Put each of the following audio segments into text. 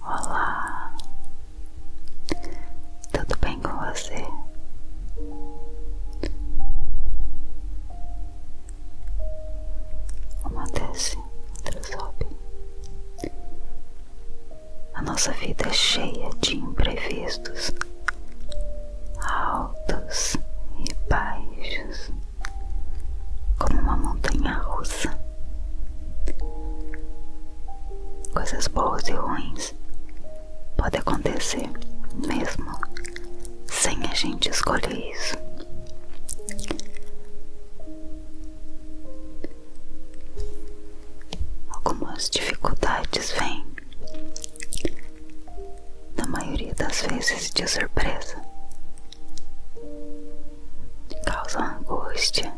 Olá, tudo bem com você? Uma desce, outra sobe, a nossa vida é cheia de imprevistos, altos e baixos, como uma montanha russa. Coisas boas e ruins podem acontecer mesmo sem a gente escolher isso. Algumas dificuldades vêm, na maioria das vezes, de surpresa, causam angústia,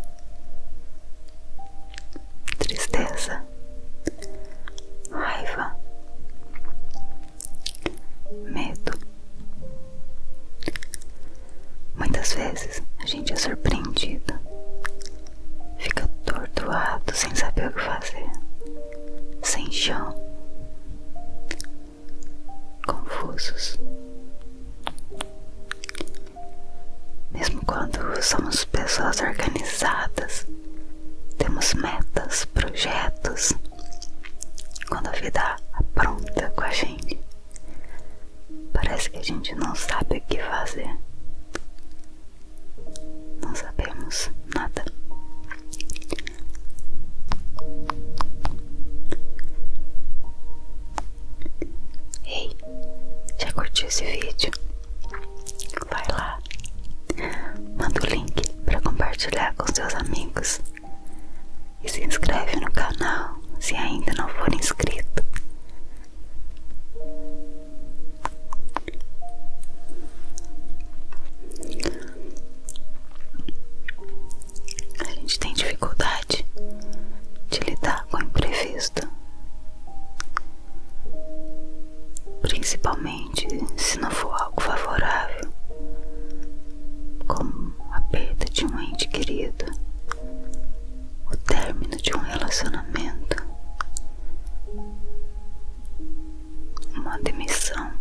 tristeza, raiva, medo. Muitas vezes a gente é surpreendido Fica atordoado sem saber o que fazer, sem chão, confusos. Mesmo quando somos pessoas organizadas, temos metas, projetos, quando a vida apronta com a gente, Parece que a gente não sabe o que fazer. Não sabemos nada. Ei, já curtiu esse vídeo? Vai lá, manda o link para compartilhar com seus amigos e se inscreve no canal se ainda não for inscrito. A gente tem dificuldade de lidar com o imprevisto, principalmente se não for algo favorável, como a perda de um ente querido, o término de um relacionamento, uma demissão,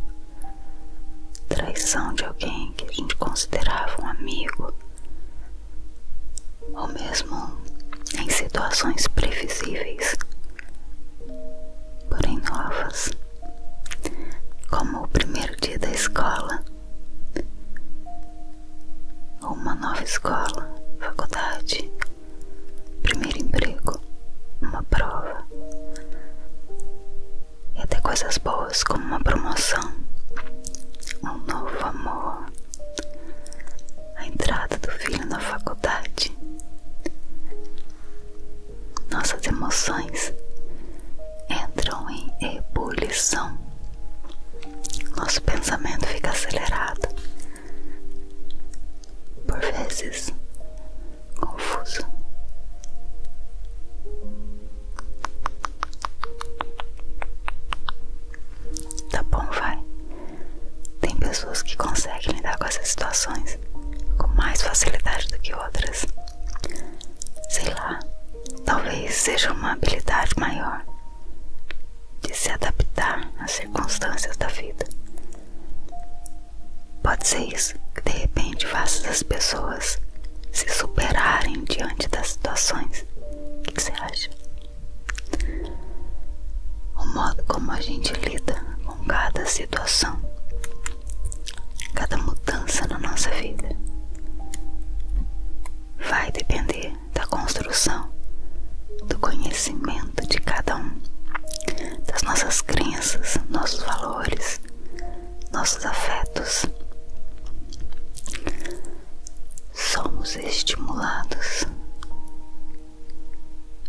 traição de alguém que a gente considerava um amigo, ou mesmo em situações previsíveis, porém novas, como o primeiro dia da escola uma nova escola, faculdade, primeiro emprego, uma prova e até coisas boas como uma promoção, um novo amor, a entrada do filho na faculdade. Nossas emoções entram em ebulição nosso pensamento fica acelerado, por vezes confuso. Tá bom, vai. Tem pessoas que conseguem lidar com essas situações com mais facilidade do que outras. Sei lá, talvez seja uma habilidade maior de se adaptar às circunstâncias da vida. Pode ser isso que de repente faça as pessoas se superarem diante das situações. O que, que você acha? O modo como a gente lida com cada situação, cada mudança na nossa vida, vai depender da construção do conhecimento de cada um, das nossas crenças, nossos valores, nossos afetos. Somos estimulados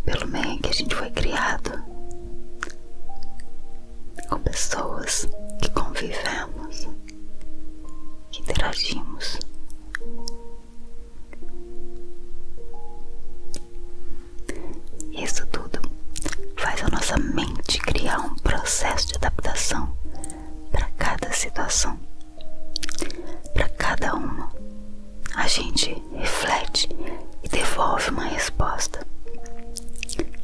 pelo meio que a gente foi criado, com pessoas que convivemos, que interagimos, isso tudo faz a nossa mente criar um processo de adaptação para cada situação, para cada uma. A gente reflete e devolve uma resposta.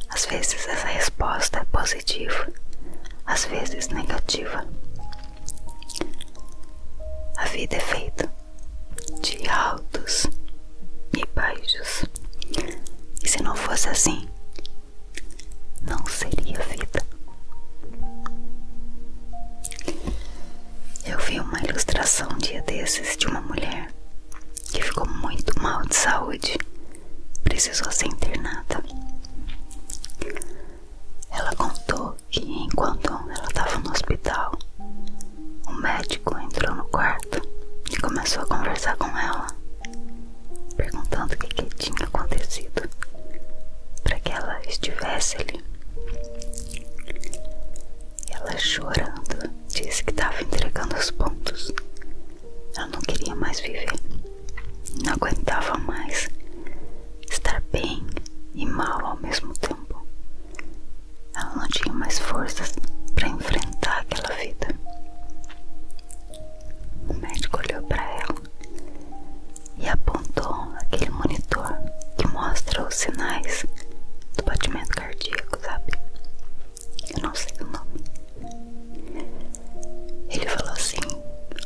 Às vezes essa resposta é positiva, às vezes negativa, a vida é feita de altos e baixos. E se não fosse assim, não seria vida. Eu vi uma ilustração um dia desses de uma mulher que ficou muito mal de saúde, precisou ser internada. Ela contou que enquanto ela estava no hospital, o médico entrou no quarto e começou a conversar com ela, perguntando o que tinha acontecido para que ela estivesse ali. Ela chorando disse que estava entregando os pontos. Ela não queria mais viver, não aguentava mais estar bem e mal ao mesmo tempo. Ela não tinha mais forças para enfrentar aquela vida. O médico olhou para ela e apontou aquele monitor que mostra os sinais do batimento cardíaco, sabe? Eu não sei o nome. Ele falou assim: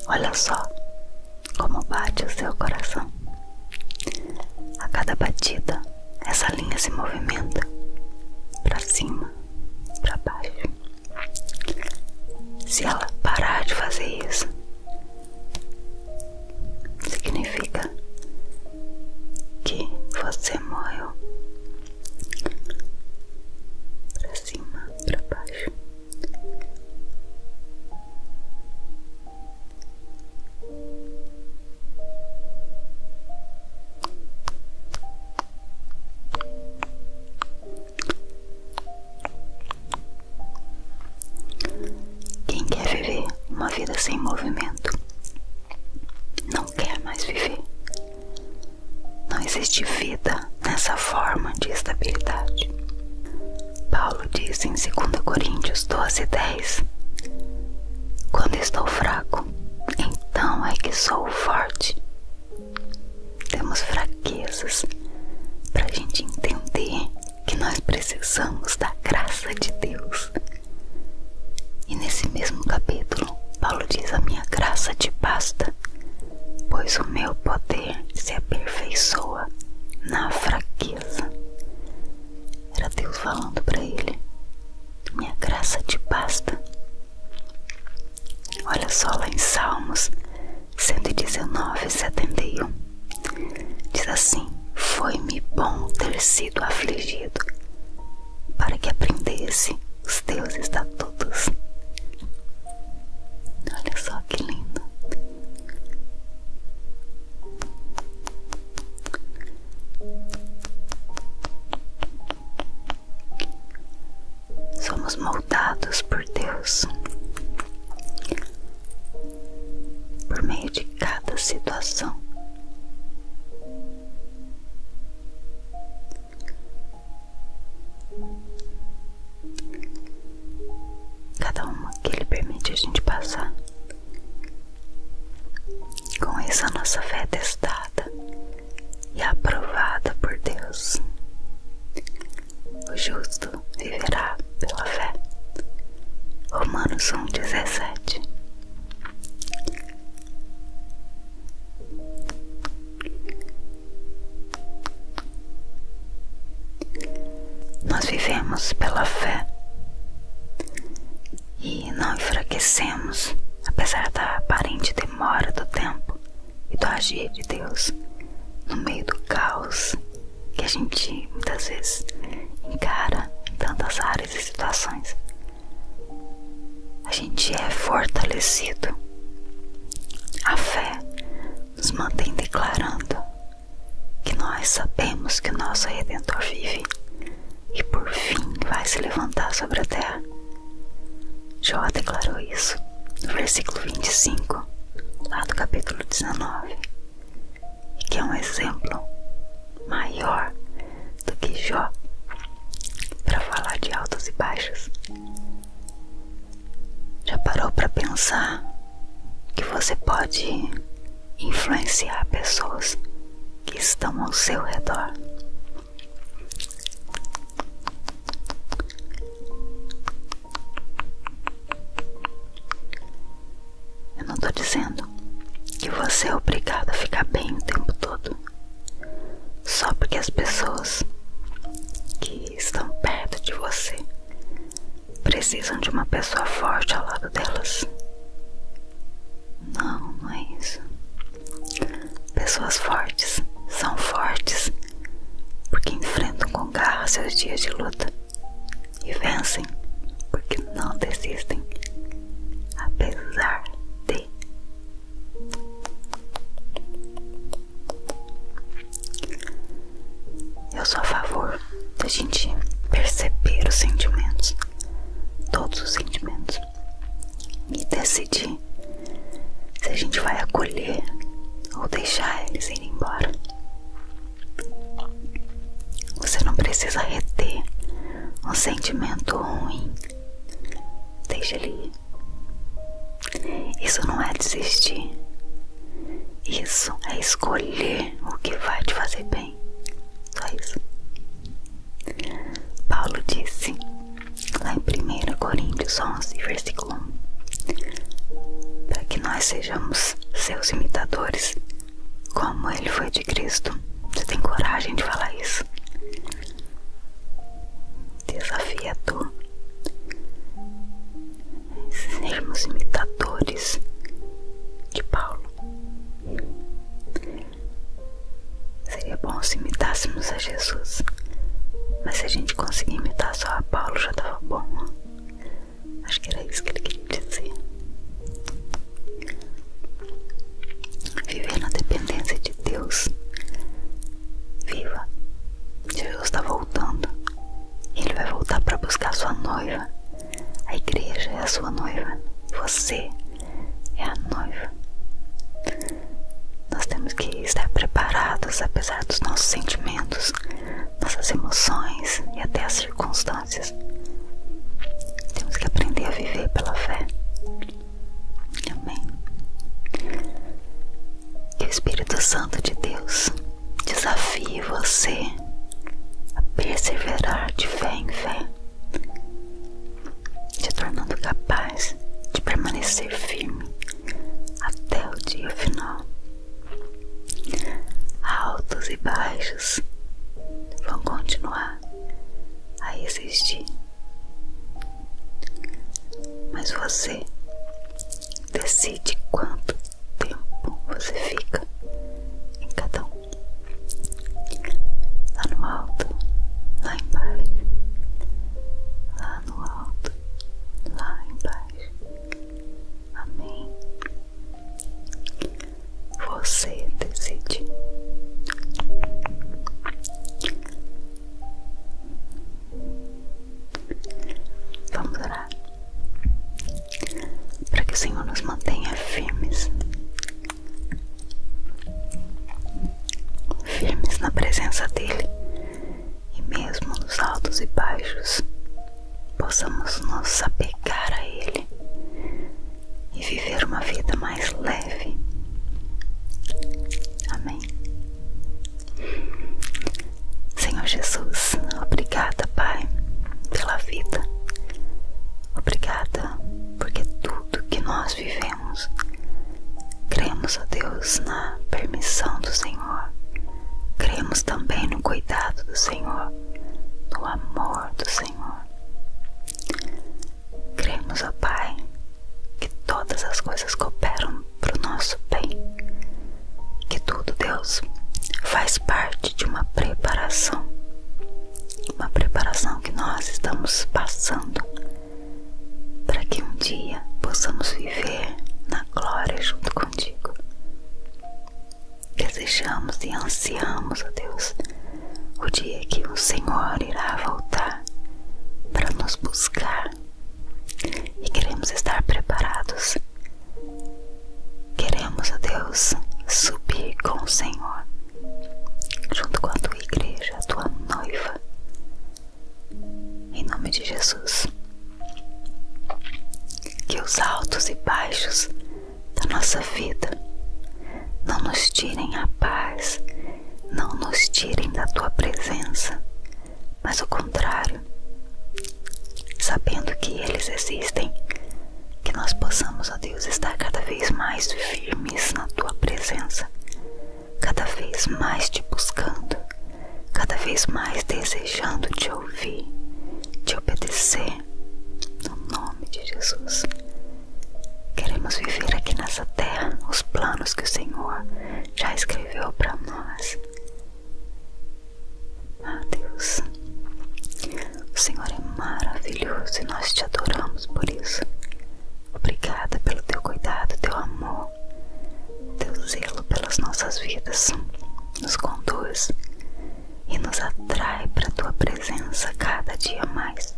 Olha só, como bate o seu coração. A cada batida, essa linha se movimenta para cima, para baixo. Se ela parar de fazer isso, significa que você morreu. Para cima, para baixo. Quem quer viver uma vida sem movimento não quer mais viver. Não existe vida nessa forma de estabilidade. Paulo diz em 2 Coríntios 12:10, Quando estou fraco, então é que sou forte. Temos fraquezas para a gente entender que nós precisamos da graça de Deus. E nesse mesmo capítulo, Paulo diz: A minha graça te basta, pois o meu poder se aperfeiçoa na fraqueza. Era Deus falando para ele: Minha graça te basta. Olha só lá em Salmos 119, 71. Diz assim: Foi-me bom ter sido afligido, para que aprendesse os teus estatutos. Olha só que lindo. Somos moldados por Deus por meio de cada situação. Cada uma que Ele permite a gente passar. Com isso, a nossa fé é testada e aprovada por Deus. O justo viverá pela fé. Romanos 1,17 nós vivemos pela fé e não enfraquecemos, apesar da aparente demora do tempo e do agir de Deus no meio do caos que a gente muitas vezes encara em tantas áreas e situações. A gente é fortalecido. A fé nos mantém declarando que nós sabemos que o nosso Redentor vive e por fim vai se levantar sobre a terra. Jó declarou isso no versículo 25, lá do capítulo 19, que é um exemplo maior do que Jó para falar de altos e baixos. Já parou para pensar que você pode influenciar pessoas que estão ao seu redor? Eu não estou dizendo que você é obrigado a ficar bem o tempo todo, só porque as pessoas que estão perto de você precisam de uma pessoa forte ao lado delas. Não, não é isso. Pessoas fortes são fortes porque enfrentam com garra seus dias de luta e vencem porque não desistem, apesar de. Eu sou a favor da gente perceber os sentimentos, todos os sentimentos, e decidir se a gente vai acolher ou deixar eles ir embora. Você não precisa reter um sentimento ruim. Deixa ele ir. Isso não é desistir, isso é escolher o que vai te fazer bem. Só isso. Paulo disse lá em 1 Coríntios 11, versículo 1: Para que nós sejamos seus imitadores, como ele foi de Cristo. Você tem coragem de falar isso? Desafia tu esses mesmos imitadores de Paulo. Seria bom se imitássemos a Jesus, mas se a gente conseguir imitar só a Paulo já estava bom. Acho que era isso que ele queria dizer. Viver na dependência de Deus. Viva Jesus está voltando. Ele vai voltar para buscar sua noiva. A igreja é a sua noiva. Você é a noiva. Nós temos que estar preparados, apesar dos nossos sentimentos, nossas emoções e até as circunstâncias. Temos que aprender a viver pela fé. Amém. Que o Espírito Santo de Deus desafie você a perseverar de fé em fé, te tornando capaz de permanecer firme até o dia final. Altos e baixos vão continuar a existir, mas você decide quanto tempo você fica em cada um? Lá no alto, lá embaixo, lá no alto, lá embaixo. Amém. Você decide. Vamos orar para que o Senhor nos mantenha firmes, firmes na presença dEle e mesmo nos altos e baixos possamos nos apegar a Ele e viver uma vida mais leve. Amém. Senhor Jesus, obrigada, Pai, pela vida. Obrigada porque tudo que nós vivemos, cremos, ó Deus, na permissão do Senhor. Cremos também no cuidado do Senhor, no amor do Senhor. Cremos, ó Pai, que todas as coisas cooperam para o nosso bem que tudo, Deus, faz parte de uma preparação, uma preparação que nós estamos passando para que um dia possamos viver na glória junto contigo. Desejamos e ansiamos, a Deus, o dia que o Senhor irá voltar para nos buscar e queremos estar preparados Queremos, ó Deus, subir com o Senhor, junto com a tua igreja, a tua noiva. Em nome de Jesus. Que os altos e baixos da nossa vida não nos tirem a paz, não nos tirem da tua presença, mas o contrário sabendo que eles existem, que nós possamos, ó Deus, estar cada vez mais firmes na tua presença, cada vez mais te buscando, cada vez mais desejando te ouvir, te obedecer, no nome de Jesus. Queremos viver aqui nessa terra os planos que o Senhor já escreveu para nós. Ah, Deus, o Senhor é maravilhoso e nós te adoramos por isso. Obrigada pelo teu cuidado, teu amor, teu zelo pelas nossas vidas. Nos conduz e nos atrai para a tua presença cada dia mais.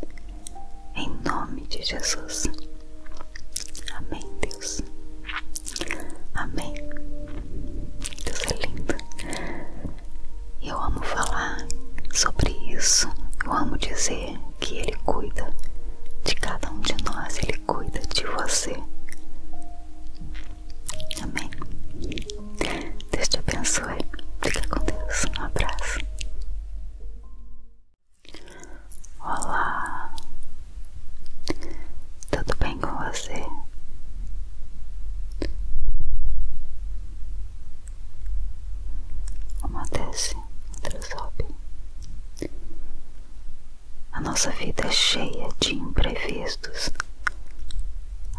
Em nome de Jesus. Amém, Deus. Amém. Deus é lindo. Eu amo falar sobre isso. Eu amo dizer que Ele cuida de cada um de nós. Ele cuida de você. Amém. Deus te abençoe. Fica com Deus. Um abraço. Olá, tudo bem com você? Uma desce, outra sobe. A nossa vida é cheia de imprevistos,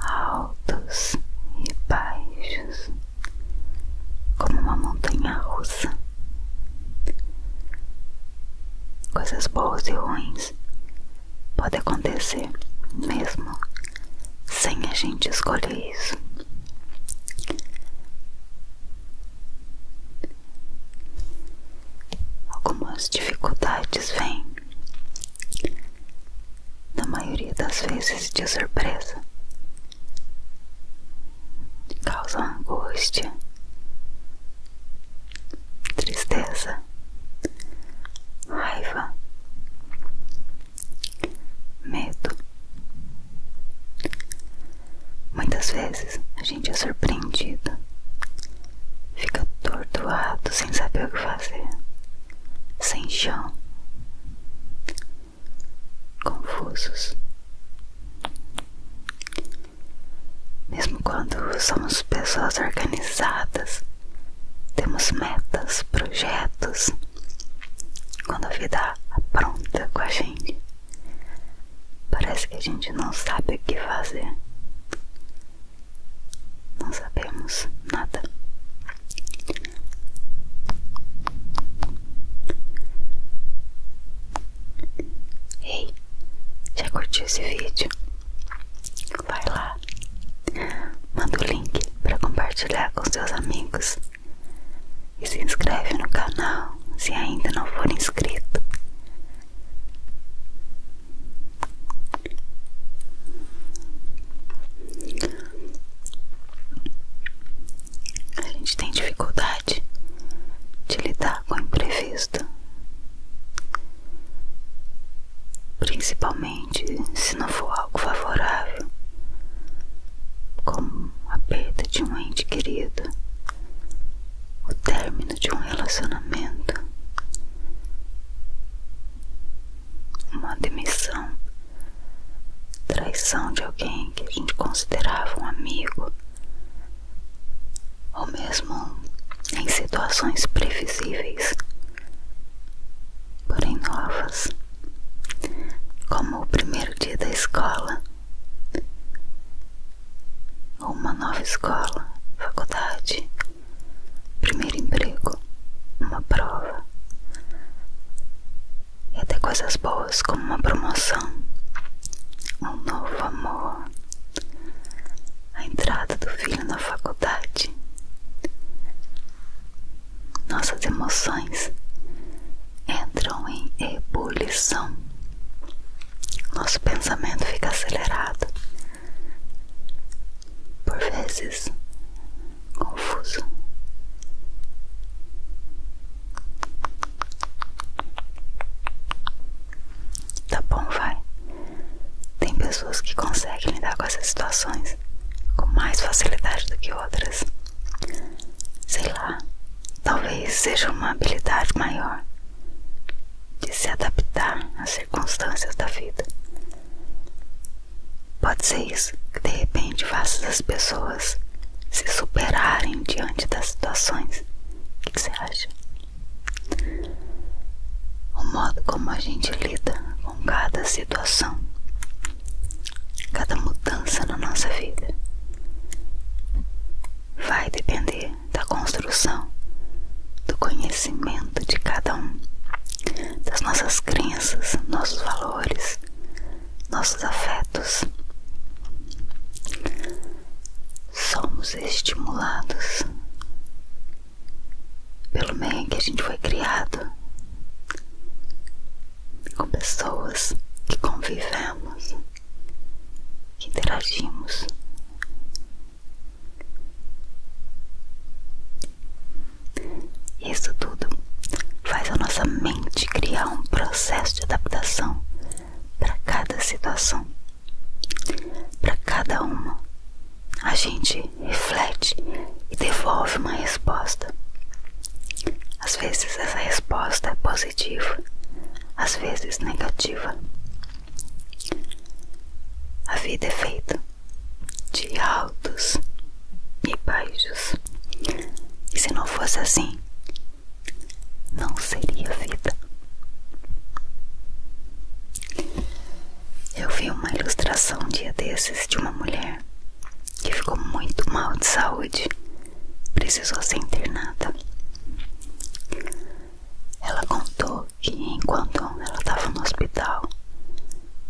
altos e baixos, como uma montanha russa. Coisas boas e ruins pode acontecer mesmo sem a gente escolher isso. Algumas dificuldades vêm, na maioria das vezes, de surpresa, causam angústia, tristeza, raiva, medo. Muitas vezes a gente é surpreendido, fica tortuado sem saber o que fazer, sem chão, confusos. Mesmo quando somos somos pessoas organizadas, temos metas, projetos. Quando a vida pronta com a gente, parece que a gente não sabe o que fazer. Não sabemos nada. Ei, já curtiu esse vídeo? Vai lá Manda o link para compartilhar com seus amigos. E se inscreve no canal se ainda não for inscrito. A gente tem dificuldade de lidar com o imprevisto principalmente se não for algo favorável, como a perda de um ente querido, o término de um relacionamento, uma demissão, traição de alguém que a gente considerava um amigo, ou mesmo em situações previsíveis, porém novas, como o primeiro dia da escola, ou uma nova escola, faculdade, primeiro emprego, uma prova, e até coisas boas como uma promoção, um novo amor a entrada do filho na faculdade. Nossas emoções entram em ebulição. Nosso pensamento fica acelerado, por vezes confuso. Tá bom, vai. Tem pessoas que conseguem lidar com essas situações com mais facilidade do que outras. Sei lá, talvez seja uma habilidade maior de se adaptar às circunstâncias da vida. Pode ser isso que de repente faça as pessoas se superarem diante das situações. O que, que você acha? o modo como a gente lida com cada situação, cada mudança na nossa vida, vai depender da construção, do conhecimento de cada um, das nossas crenças, nossos valores, nossos afetos. Somos estimulados pelo meio que a gente foi criado, com pessoas que convivemos, que interagimos. Isso tudo faz a nossa mente criar um processo de adaptação para cada situação. Para cada uma, a gente reflete e devolve uma resposta. Às vezes essa resposta é positiva, às vezes negativa. A vida é feita de altos e baixos. E se não fosse assim, não seria vida. Eu vi uma ilustração um dia desses de uma mulher que ficou muito mal de saúde, precisou ser internada. Ela contou que enquanto ela estava no hospital,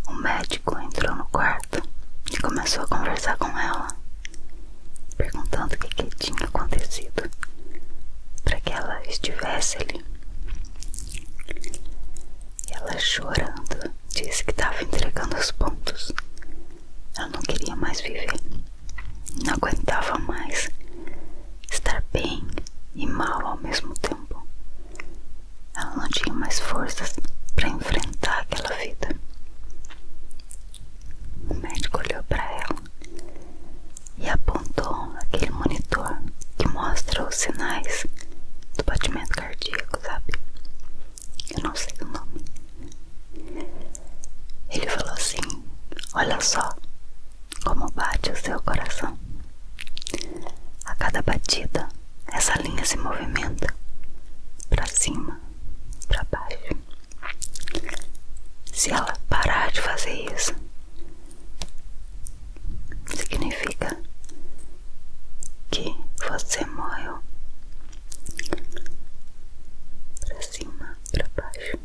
o médico entrou no quarto e começou a conversar com ela, perguntando o que tinha acontecido para que ela estivesse ali. Ela chorando disse que estava entregando os pontos. Ela não queria mais viver, não aguentava mais estar bem e mal ao mesmo tempo. Ela não tinha mais forças para enfrentar aquela vida. O médico olhou para ela e apontou aquele monitor que mostra os sinais do batimento cardíaco, sabe? Eu não sei o nome. Ele falou assim: Olha só como bate o seu coração. A cada batida, essa linha se movimenta para cima, para baixo. Se ela parar de fazer isso, significa que você morreu para cima, para baixo.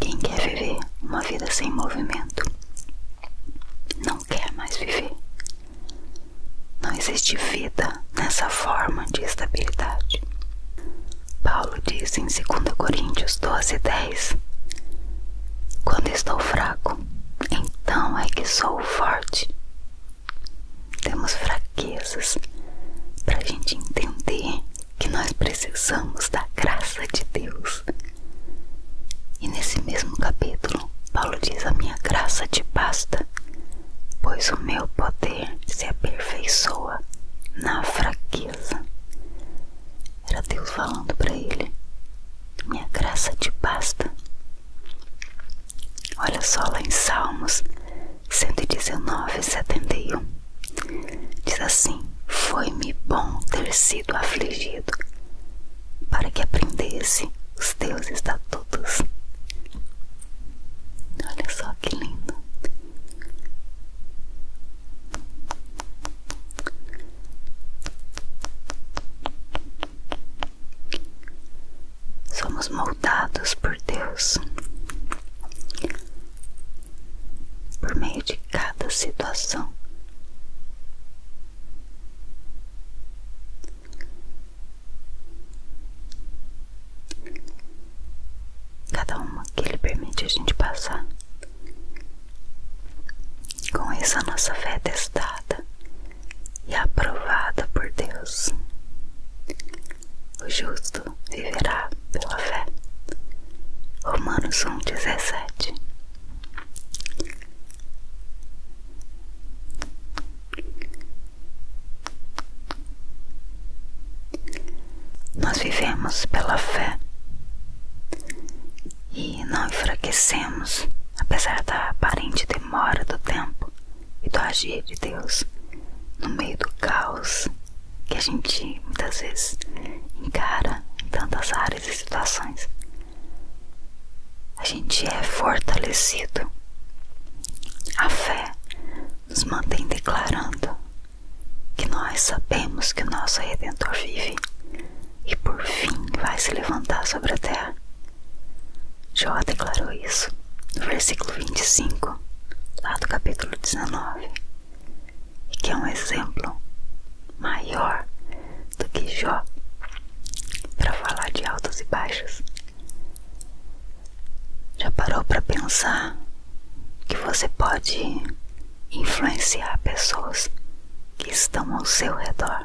Quem quer viver uma vida sem movimento não quer mais viver. Não existe vida nessa forma de estabilidade. Paulo diz em 2 Coríntios 12, 10: Quando estou fraco, então é que sou forte. Temos fraquezas para a gente entender que nós precisamos da graça de Deus. E nesse mesmo capítulo, Paulo diz: A minha graça te basta, pois o meu poder se aperfeiçoa na fraqueza. Era Deus falando para ele: Minha graça te basta. Olha só lá em Salmos 119, 71. Diz assim: Foi-me bom ter sido afligido, para que aprendesse os teus estatutos. Olha só que lindo. Somos moldados por Deus por meio de cada situação. Cada uma que Ele permite a gente passar. Com isso, a nossa fé é testada e aprovada por Deus. O justo viverá pela fé. Romanos 1,17 Nós vivemos pela fé e não enfraquecemos, apesar da aparente demora do tempo e do agir de Deus no meio do caos que a gente muitas vezes encara em tantas áreas e situações. A gente é fortalecido. A fé nos mantém declarando que nós sabemos que o nosso Redentor vive e por fim vai se levantar sobre a terra. Jó declarou isso no versículo 25, lá do capítulo 19 e que é um exemplo maior do que Jó para falar de altos e baixos. Já parou para pensar que você pode influenciar pessoas que estão ao seu redor?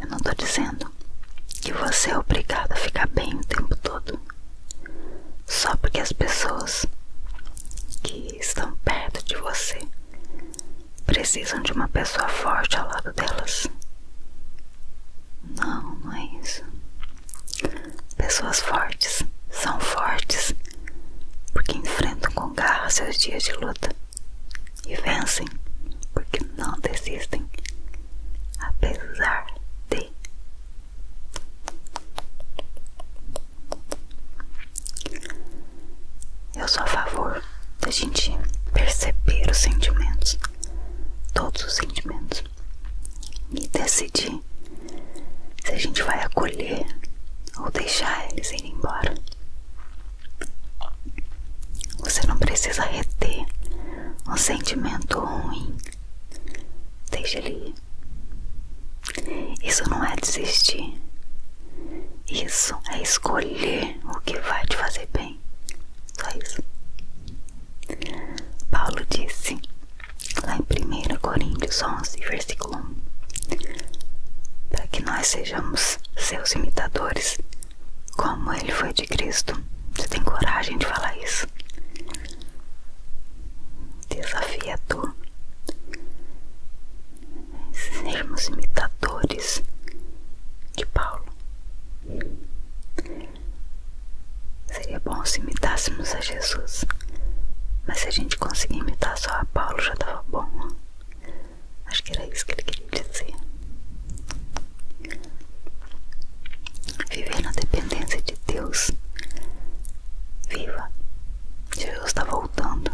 Eu não tô dizendo que você é obrigado a ficar bem o tempo todo. Só porque as pessoas que estão perto de você precisam de uma pessoa forte ao lado delas. Não, não é isso. Pessoas fortes são fortes porque enfrentam com garra seus dias de luta e vencem, porque não desistem, apesar de. Eu sou a favor da gente perceber os sentimentos, todos os sentimentos, e decidir se a gente vai acolher ou deixar eles ir embora. Você não precisa reter um sentimento ruim. deixe ele ir. Isso não é desistir. Isso é escolher o que vai te fazer bem. Só isso. Paulo disse lá em 1 Coríntios 11, versículo 1, para que nós sejamos seus imitadores como ele foi de Cristo. Você tem coragem de falar isso? Desafia tu. Sejamos imitadores de Paulo. Seria bom se imitássemos a Jesus, mas se a gente conseguir imitar só a Paulo já estava bom. Acho que era isso que ele queria dizer. Viver na dependência de Deus. Viva. Jesus está voltando.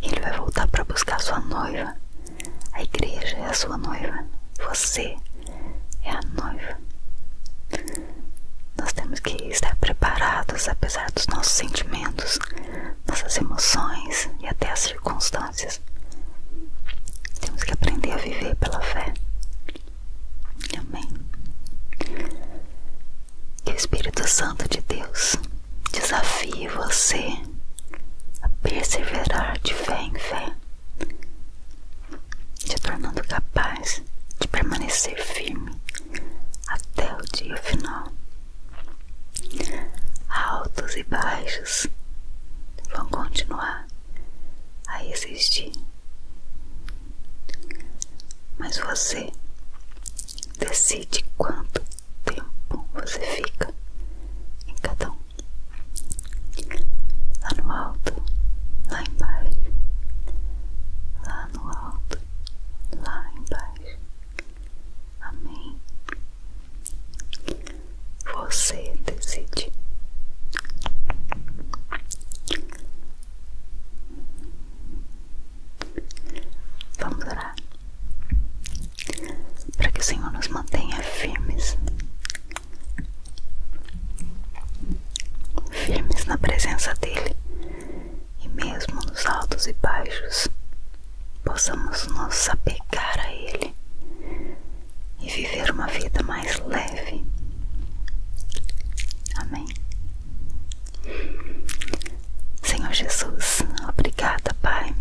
Ele vai voltar para buscar sua noiva. A igreja é a sua noiva. Você é a noiva. Nós temos que estar preparados, apesar dos nossos sentimentos, nossas emoções e até as circunstâncias temos que aprender a viver pela fé. Amém. Que o Espírito Santo de Deus desafie você a perseverar de fé em fé, te tornando capaz de permanecer firme até o dia final altos e baixos vão continuar a existir. Mas você decide quanto tempo você fica em cada um. Lá no alto, lá embaixo. Lá no alto, lá embaixo. Amém. Você decide. Vamos orar para que o Senhor nos mantenha firmes, firmes na presença dEle e mesmo nos altos e baixos possamos nos apegar a Ele e viver uma vida mais leve. Amém. Senhor Jesus, obrigada, Pai,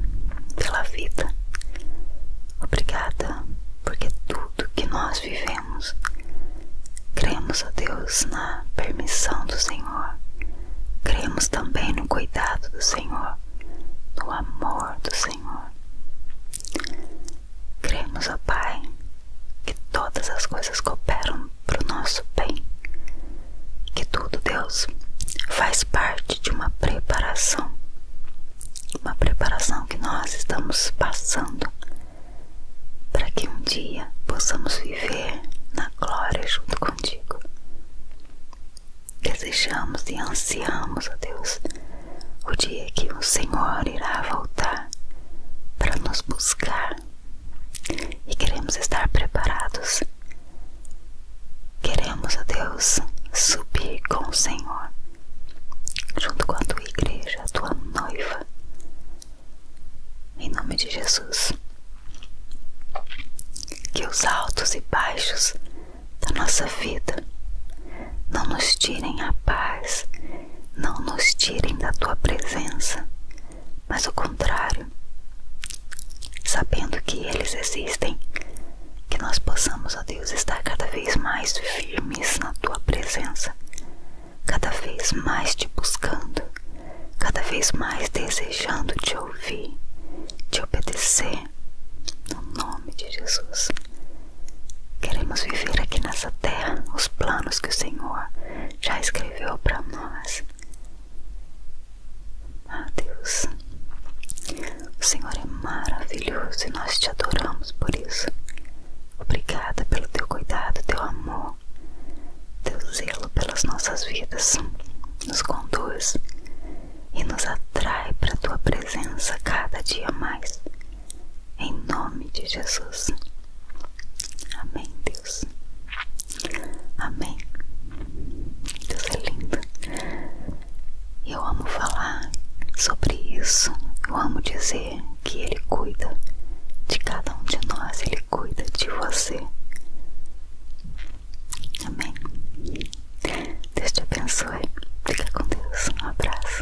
pela vida. Obrigada porque tudo que nós vivemos, cremos, a Deus, na permissão do Senhor. Cremos também no cuidado do Senhor no amor do Senhor. Cremos, ó Pai, que todas as coisas cooperam para o nosso bem, que tudo, Deus, faz parte de uma preparação, uma preparação que nós estamos passando para que um dia possamos viver na glória junto contigo. Desejamos e ansiamos, ó Deus, o dia que o Senhor irá voltar para nos buscar e queremos estar preparados. Queremos, ó Deus, subir com o Senhor, junto com a tua igreja, a tua noiva. Em nome de Jesus, que os altos e baixos da nossa vida. Não nos tirem a paz, não nos tirem da tua presença, mas ao contrário, sabendo que eles existem, que nós possamos, ó Deus, estar cada vez mais firmes na tua presença, cada vez mais te buscando, cada vez mais desejando te ouvir, te obedecer no nome de Jesus. Queremos viver aqui nessa terra os planos que o Senhor já escreveu para nós. Ah, Deus, o Senhor é maravilhoso e nós te adoramos por isso. Obrigada pelo teu cuidado, teu amor, teu zelo pelas nossas vidas. Nos conduz e nos atrai para a tua presença cada dia mais. Em nome de Jesus. Amém, Deus. Amém. Deus é lindo. Eu amo falar sobre isso. Eu amo dizer que Ele cuida de cada um de nós, Ele cuida de você. Amém. Deus te abençoe. Fica com Deus. Um abraço.